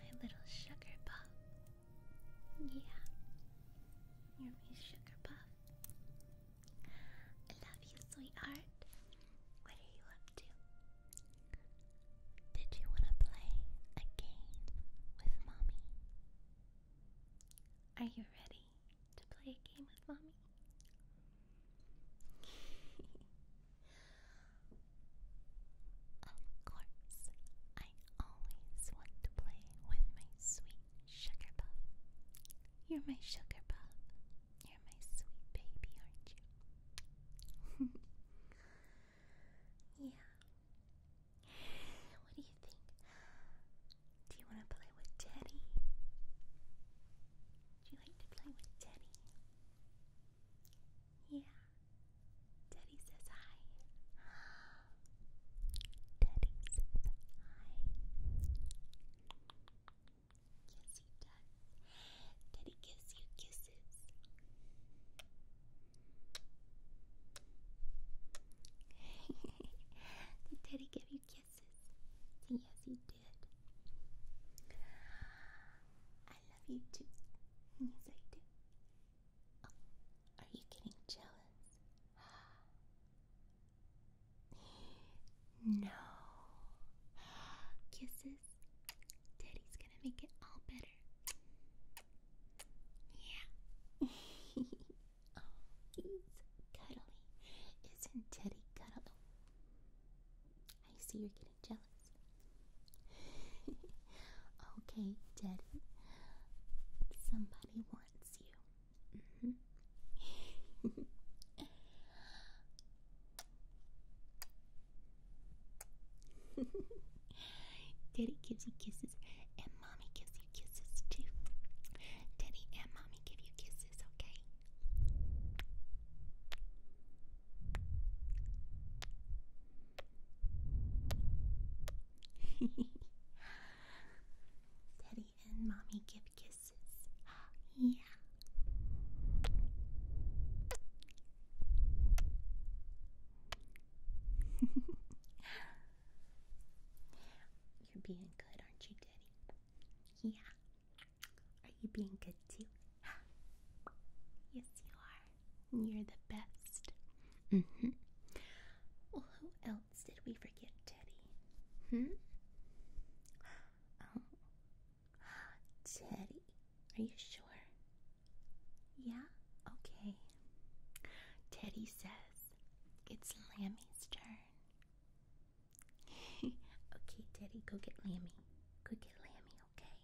My little sugar puff. Yeah. You're sugar puff. I love you, sweetheart. What are you up to? Did you want to play a game with mommy? Are you ready to play a game with mommy? of course, I always want to play with my sweet sugar puff. You're my sugar puff. You're my sweet baby, aren't you? yeah. What do you think? Do you want to play with Teddy? Do you like to play with Teddy? Yeah. Teddy says hi. Teddy says hi. Yes, he does. Teddy gives you kisses. Did Teddy give you kisses? Yes, he I love you too. Yes, I do. are you getting jealous? No. Kisses. Daddy's gonna make it all better. Yeah. oh, he's cuddly. Isn't Teddy cuddly? I see you're getting jealous. okay, Daddy. Somebody wants you. Mm-hmm. Daddy gives you kisses, and Mommy gives you kisses too. Daddy and Mommy give you kisses, okay? Daddy and mommy give kisses. yeah. You're being good, aren't you, Daddy? Yeah. Are you being good too? yes, you are. You're the best. Mm hmm. Well, who else did we forget, Teddy? Hmm? Oh. Teddy, are you sure? Yeah? Okay. Teddy says it's Lammy's turn. okay, Daddy, go get Lammy. Go get Lammy, okay?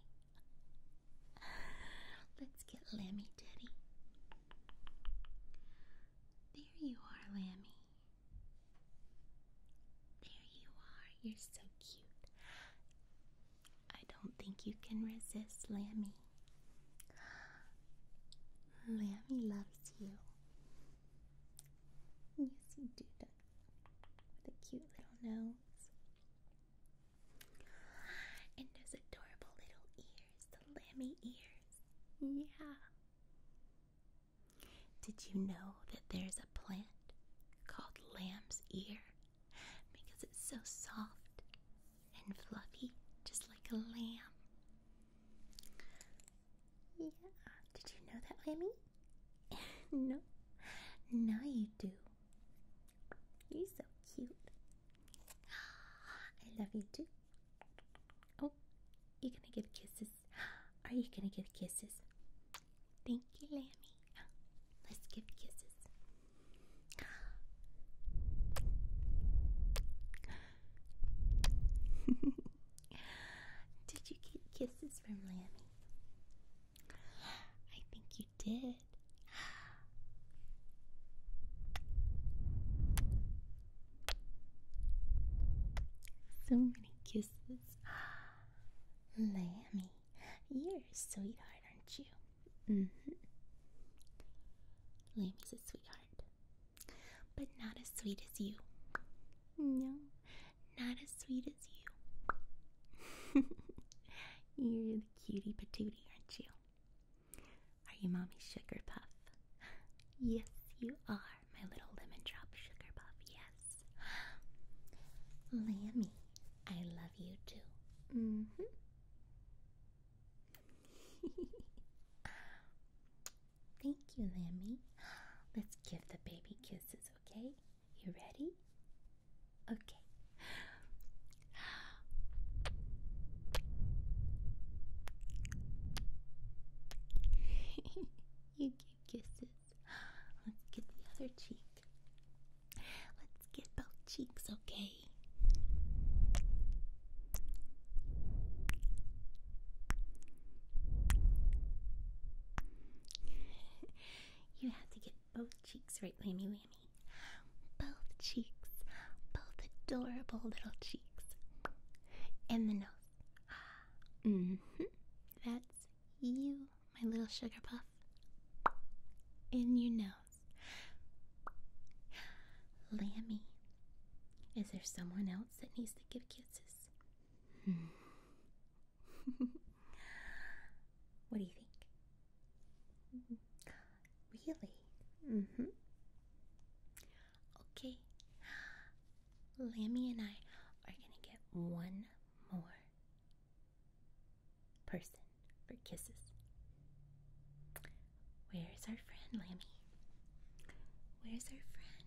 Let's get Lammy, Daddy. There you are, Lammy. There you are. You're so cute. I don't think you can resist Lammy. Lammy loves you. Yes, you do, with a cute little nose and those adorable little ears, the lammy ears. Yeah. Did you know that there's a plant called lamb's ear because it's so soft and fluffy, just like a lamb? Yeah. Did you know that, Lammy? no, now you do. You're so cute. I love you too. Oh, you're gonna give kisses. Are you gonna give kisses? Thank you, Lambie. Let's give kisses. Did you get kisses from Lambie? I think you did. So many kisses. Lammy, you're a sweetheart, aren't you? hmm. Lammy's a sweetheart, but not as sweet as you. No, not as sweet as you. You're the cutie patootie, aren't you? Are you Mommy Sugar Puff? Yes, you are, my little lemon drop sugar puff, yes. Lammy, I love you too. Mm hmm. Thank you, Lammy. Let's give the baby kisses, okay? You ready? Okay. you give kisses. Let's get the other cheek. Let's get both cheeks, okay? you have to get both cheeks right, lammy lammy? Both cheeks. Both adorable little cheeks. And the nose. Mm hmm. That's you, my little sugar puff. In your nose. Lammy. Is there someone else that needs to give kisses? what do you think? Really? Mm hmm. Okay. Lammy and I are going to get one more person for kisses. Where's our friend, Lammy? Where's our friend?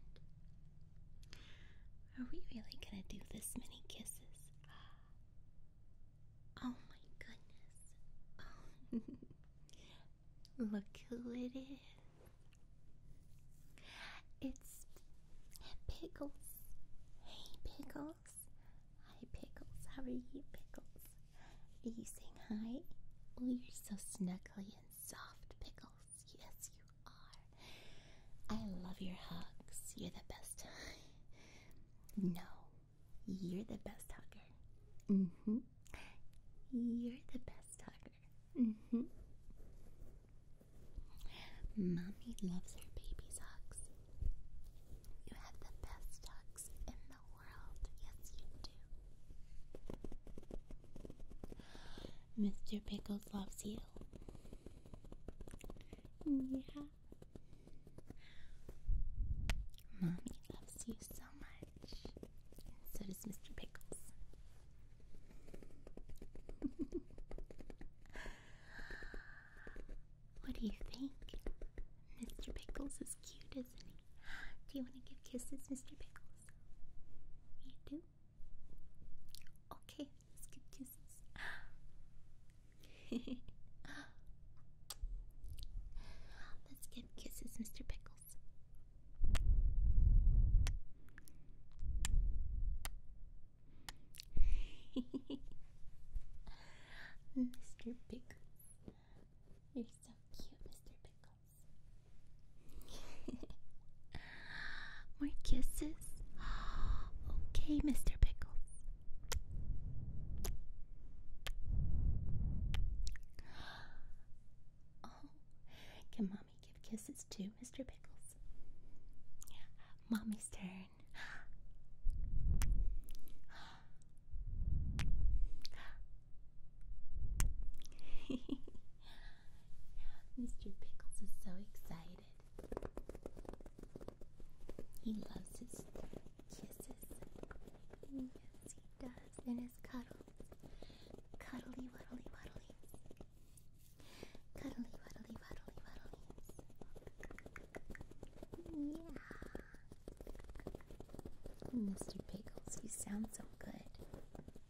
Are we really gonna do this many kisses? Oh my goodness. Oh. Look who it is. It's Pickles. Hey, Pickles. Hi, Pickles. How are you, Pickles? Are you saying hi? Oh, you're so snuggly and soft pickles. Yes, you are. I love your hugs. You're the best. No, you're the best hugger. hmm. You're the best hugger. hmm. Mommy loves her baby's hugs. You have the best hugs in the world. Yes, you do. Mr. Pickles loves you. Yeah. Mommy loves you so much. so does Mr. Pickles. what do you think? Mr. Pickles is cute, isn't he? Do you want to give kisses, Mr. Pickles? You do? Okay, skip kisses. Let's give kisses, Mr. Pickles. Mr. Pickles. You're so cute, Mr. Pickles. More kisses? okay, Mr. Pickles. Oh, can Mommy give kisses too, Mr. Pickles? Mommy's turn. Mr. Pickles is so excited. He loves his kisses. Yes, he does. And his cuddles. Cuddly, waddly, waddly. Cuddly, waddly, waddly, waddly. Yeah. Mr. Pickles, you sound so good.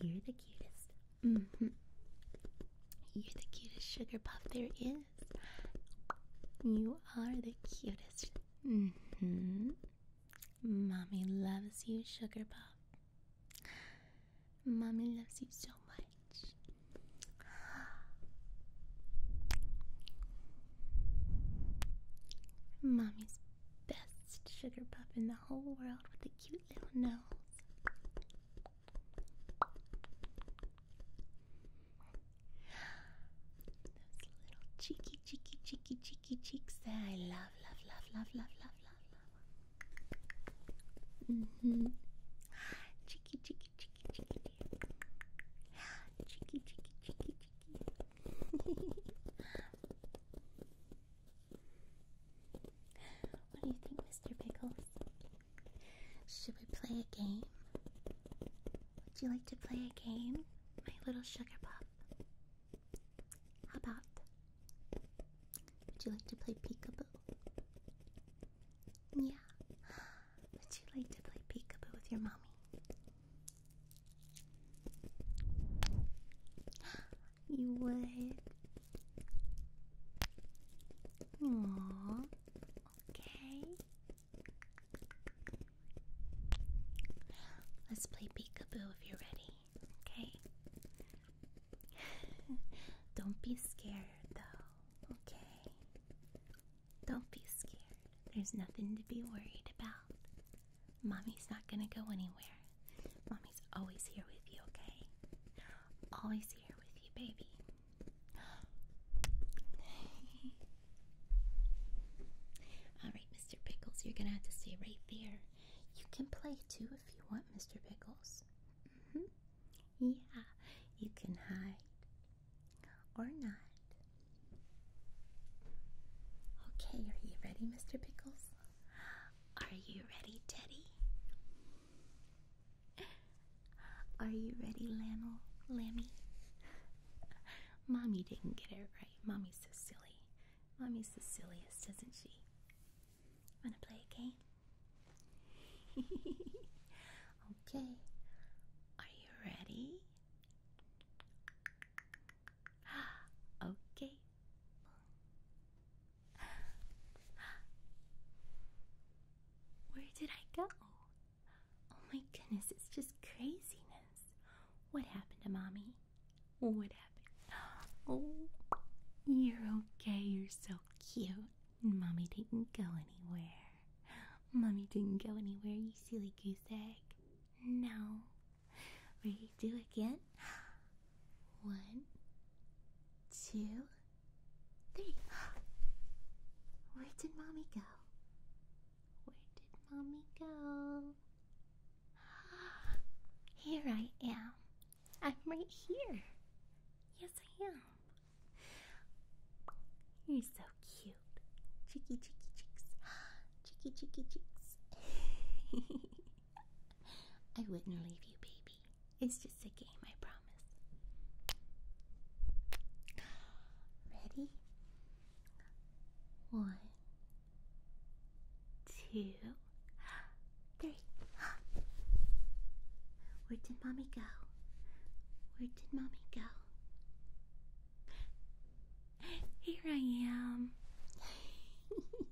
You're the cutest. -hmm. You're the cutest sugar puff there is. You are the cutest. hmm. Mommy loves you, sugar puff. Mommy loves you so much. Mommy's best sugar puff in the whole world with the cutest those little cheeky, cheeky, cheeky, cheeky cheeks there. I love, love, love, love, love, love, love, love. Mm hmm. Cheeky, cheeky, cheeky, cheeky. Cheeky, cheeky, cheeky, cheeky. What do you think, Mr. Pickles? Should we play a game? Would you like to play a game, my little sugar pup? How about? Would you like to play peekaboo? Yeah. Would you like to play peekaboo with your mommy? You would. Aww. Okay. Let's play peekaboo if you're ready. Okay. Don't be scared though. Okay. Don't be scared. There's nothing to be worried about. Mommy's not gonna go anywhere. Mommy's always here with you, okay? Always here with you, baby. Alright, Mr. Pickles, you're gonna have to stay right there. You can play too if you want, Mr. Pickles. Mm-hmm. Yeah, you can hide or not. Okay, are you ready, Mr. Pickles? Are you ready, Teddy? Are you ready, Lannel? Lammy? Mommy didn't get it right. Mommy's so silly. Mommy's the silliest, isn't she? Wanna play a game? okay. Are you ready? okay. Where did I go? Oh my goodness, it's just craziness. What happened to mommy? What happened? Oh, you're okay. You're so cute. And Mommy didn't go anywhere. Mommy didn't go anywhere, you silly goose egg. No, Redo again. One, two, three. Where did mommy go? Where did mommy go? Here I am. I'm right here. Yes, I am. You're so cute. Cheeky, cheeky cheeks. Cheeky, cheeky cheeks. I wouldn't leave you, baby. It's just a game, I promise. Ready? One, two, three. Where did mommy go? Where did mommy go? Here I am.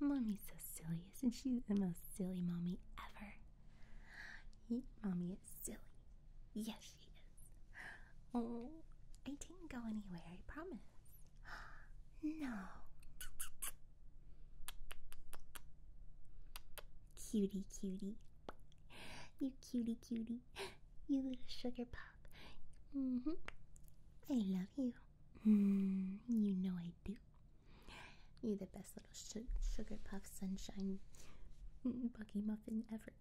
Mommy's so silly, isn't she? The most silly mommy ever. mommy is silly. Yes, she is. Oh, I didn't go anywhere, I promise. No. Cutie, cutie. You cutie, cutie. You little sugar pop. Mm hmm. I love you. Hmm. you know I do. You're the best little sugar puff sunshine buggy muffin ever.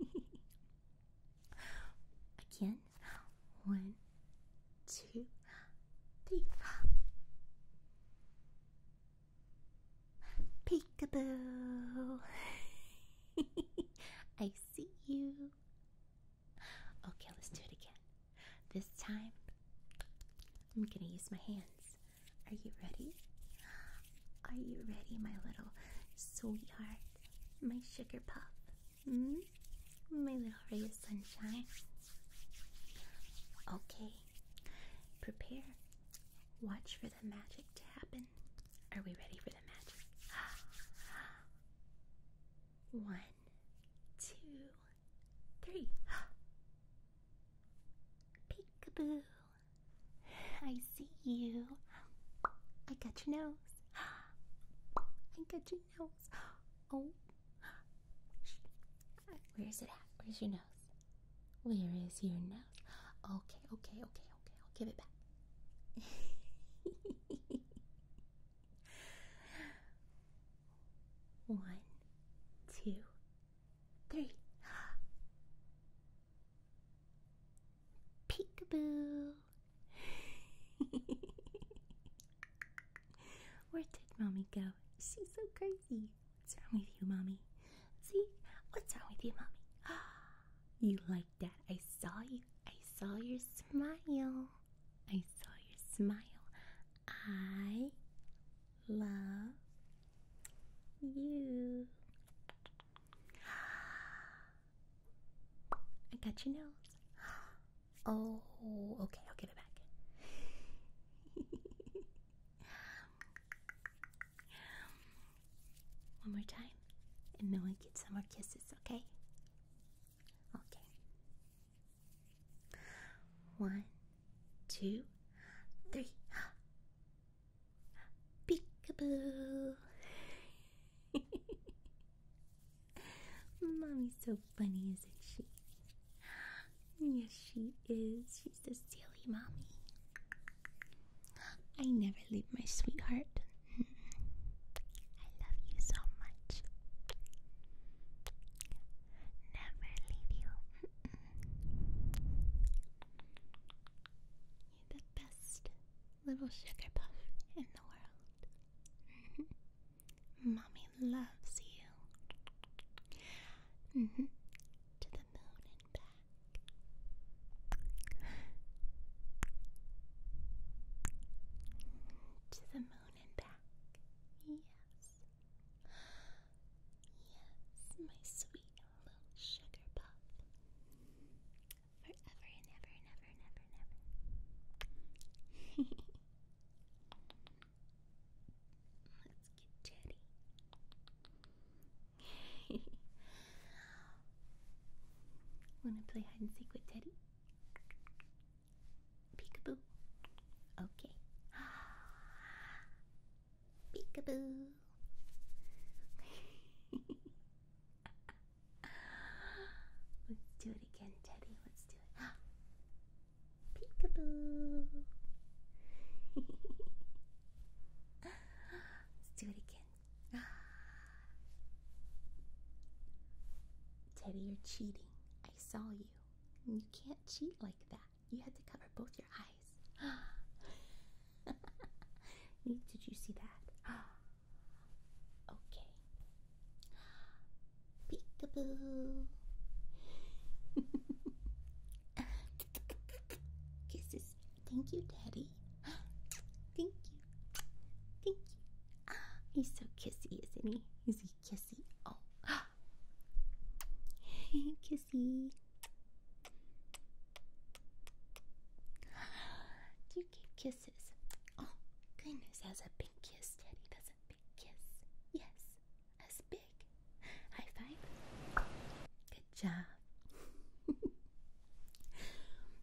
Again. One, two, three. Peekaboo. I see you. Okay, let's do it again. This time, I'm gonna use my hands. Are you ready? Are you ready, my little sweetheart? My sugar puff? Mm-hmm. My little ray of sunshine? Okay, prepare. Watch for the magic to happen. Are we ready for the magic? One, two, three. Peekaboo. I see you. I got your nose. I got your nose. Oh. Where's it at? Where's your nose? Where is your nose? Okay, okay, okay okay, I'll give it back. One, two, three. Peekaboo. Where did mommy go? She's so crazy. What's wrong with you, mommy? See? What's wrong with you, mommy? You like Dad, I saw you. I saw your smile. I saw your smile. I love you. I got your nose. Oh, okay, I'll give it back. One more time. And then we get some more kisses, okay? Okay. One, two, three. Peekaboo! Mommy's so funny, isn't she? Yes, she is. She's a silly mommy. I never leave my sweetheart. I love you so much. Never leave you. You're the best little sugar puff in the world. Mommy loves you. Mm-hmm. To the moon and back. To the moon and back. Yes. Yes, my sweet little sugar puff. Forever and ever and ever and ever and ever. Let's get Teddy. Wanna play hide and seek with Teddy? Peekaboo. Okay. Peekaboo. Let's do it again, Teddy. Let's do it. Peekaboo. Let's do it again. Teddy, you're cheating. I saw you. You can't cheat like that. You had to cover both your eyes. Did you see that? Okay. Peekaboo. Kisses. Thank you, Daddy. Thank you. Thank you. Ah, he's so kissy, isn't he? He's he kissy? Oh. kissy. Do kisses? Oh, goodness, that's a big kiss, Daddy. That's a big kiss. Yes, that's big. High five. Good job.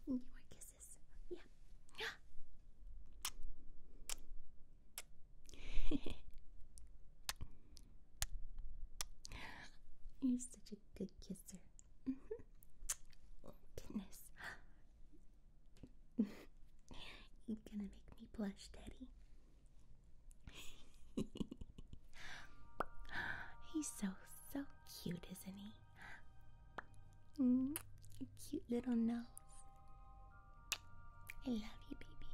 you are kissing. Yeah. You're such a good kisser. Oh, goodness. You're gonna make me blush, Daddy. He's so, so cute, isn't he? Mm, your cute little nose. I love you, baby.